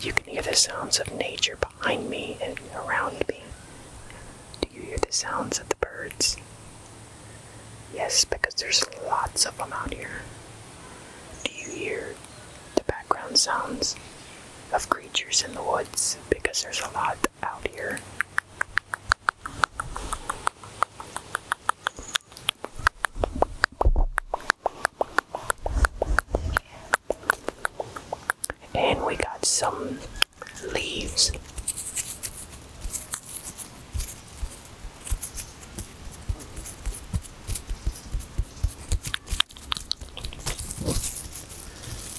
You can hear the sounds of nature behind me and around me. Do you hear the sounds of the birds? Yes, because there's lots of them out here. Do you hear the background sounds of creatures in the woods? Because there's a lot out here. And we got some leaves.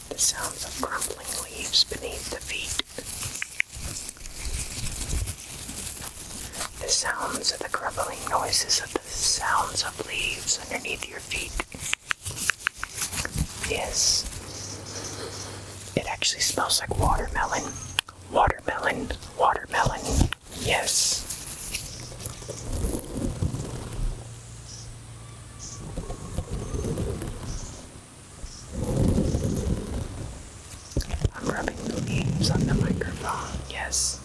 The sounds of crumbling leaves beneath the feet. The sounds of the grumbling noises sounds of leaves underneath your feet. Yes. It actually smells like watermelon. Watermelon, watermelon. Yes. I'm rubbing the leaves on the microphone. Yes.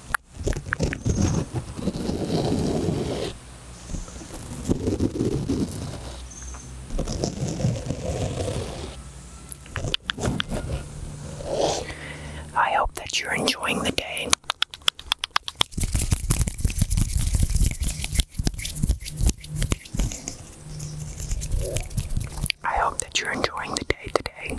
I hope that you're enjoying the day. I hope that you're enjoying the day today.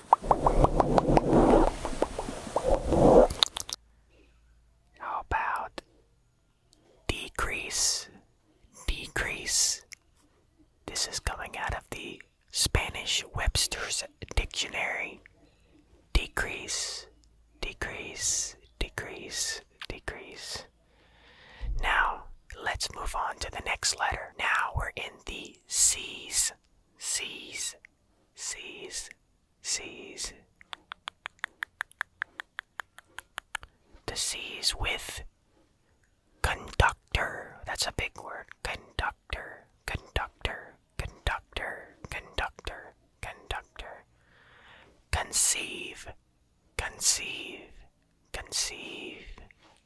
How about decrease? Decrease. This is coming out of the Spanish Webster's Dictionary. Decrease, decrease, decrease, decrease. Now, let's move on to the next letter. Now we're in the C's. Seize, seize, seize. To seize with conductor. That's a big word. Conductor, conductor, conductor, conductor, conductor. Conceive, conceive, conceive,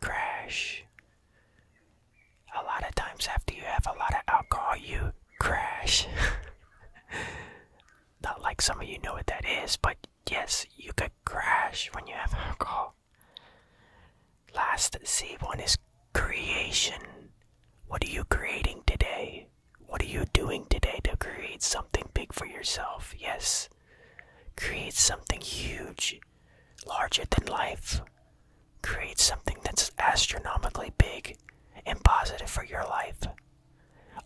crash. A lot of times, after you have a lot of alcohol, you crash. Not like some of you know what that is, but yes, you could crash when you have alcohol. Last C one is creation. What are you creating today? What are you doing today to create something big for yourself? Yes. Create something huge larger than life. Create something that's astronomically big and positive for your life.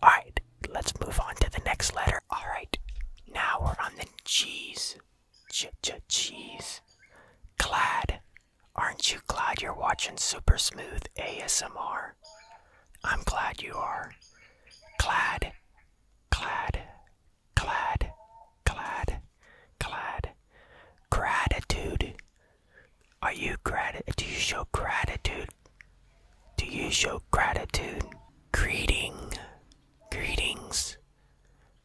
Alright, let's move on to the next letter. Alright, now we're on the G's. Ch ch cheese. Glad. Aren't you glad you're watching Super Smooth ASMR? I'm glad you are. Glad. Glad. Glad, glad, glad. Gratitude. Are you grat? Do you show gratitude? Do you show gratitude? Greeting, greetings,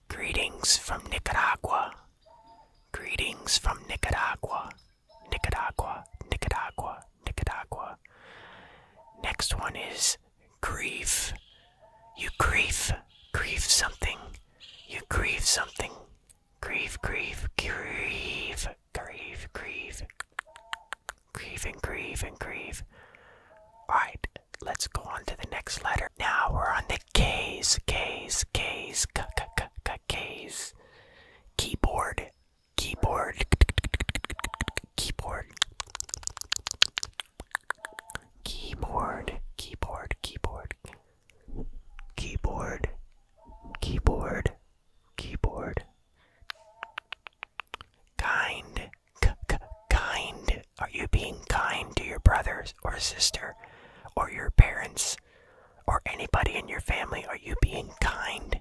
greetings from Nicaragua. Greetings from Nicaragua, Nicaragua, Nicaragua, Nicaragua. Next one is grieve. You grieve, grieve something. You grieve something. Grieve, grieve, grieve, grieve, grieve. Grieve and grieve and grieve. Alright, let's go on to the next letter. Now we're on the K's, K's, K's, K, K, K, K, K's. Keyboard, keyboard, keyboard, Keyboard, keyboard, keyboard. Keyboard, keyboard, keyboard. Kind, k k kind. Are you being kind to your brothers or sister or your parents or anybody in your family? Are you being kind?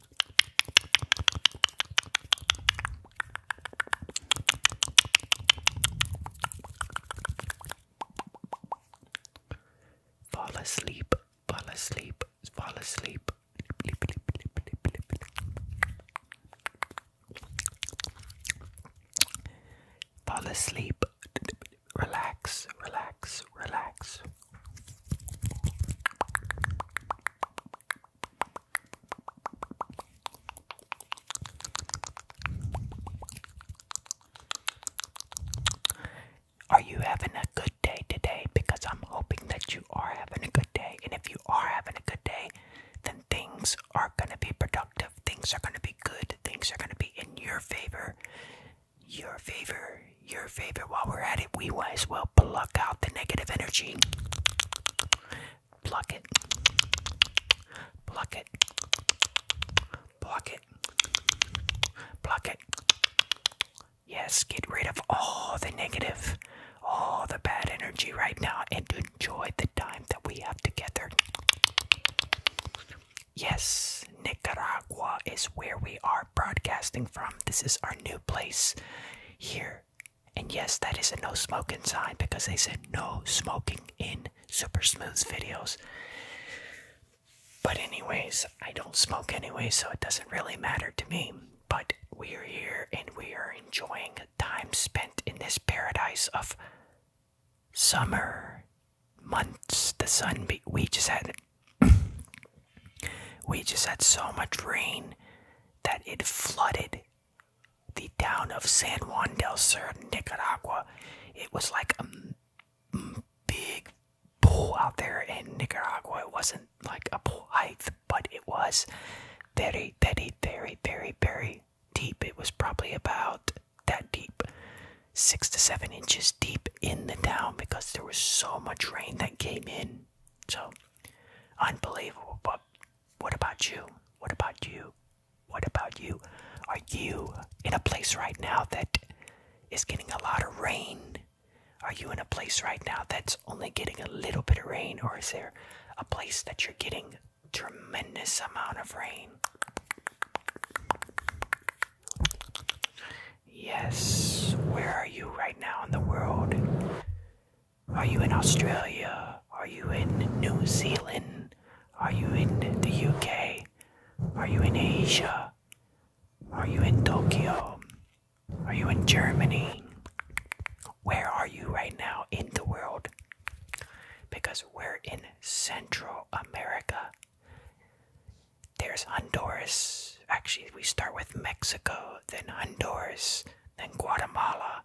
Fall asleep, fall asleep, fall asleep. Fall asleep, relax, relax, relax. Are you having a good day today? Because I'm hoping that you are having a good day. And if you are having a good day, then things are going to be productive. Things are going to be good. Things are going to be in your favor. Your favor your favorite while we're at it, we might as well pluck out the negative energy. Pluck it. Pluck it. Pluck it. Pluck it. Yes, get rid of all the negative, all the bad energy right now and enjoy the time that we have together. Yes, Nicaragua is where we are broadcasting from. This is our new place here. And yes, that is a no smoking sign because they said no smoking in Super Smooth's videos. But, anyways, I don't smoke anyway, so it doesn't really matter to me. But we are here and we are enjoying time spent in this paradise of summer months. The sun, we just had we just had so much rain that it flooded the town of San Juan del Sur, Nicaragua. It was like a big pool out there in Nicaragua. It wasn't like a pool height, but it was very, very, very, very, very deep. It was probably about that deep, six to seven inches deep in the town because there was so much rain that came in. So unbelievable. But what about you? What about you? What about you? Are you in a place right now that is getting a lot of rain? Are you in a place right now that's only getting a little bit of rain, or is there a place that you're getting tremendous amount of rain? Yes. Where are you right now in the world? Are you in Australia? Are you in New Zealand? Are you in the UK? Are you in Asia? Are you in Tokyo? Are you in Germany? Where are you right now in the world? Because we're in Central America there's Honduras. Actually, we start with Mexico, then Honduras, then Guatemala,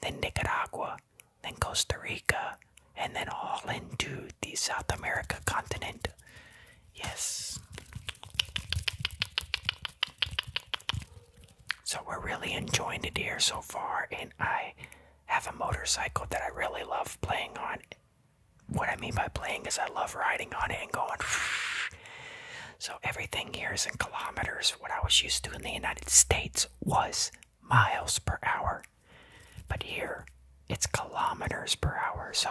then Nicaragua, then Costa Rica, and then all into the South America continent. Yes. So we're really enjoying the here so far, and I have a motorcycle that I really love playing on what I mean by playing is I love riding on it and going. So everything here is in kilometers. What I was used to in the United States was miles per hour. But here it's kilometers per hour. So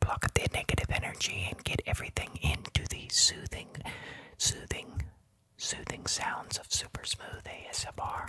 Block the negative energy and get everything into the soothing, soothing, soothing sounds of super smooth ASMR.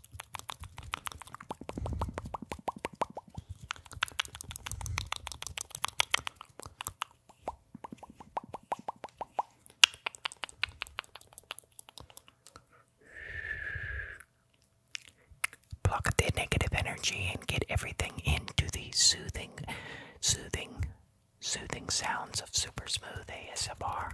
Block the negative energy and get everything into the soothing, soothing, soothing sounds of super smooth ASMR.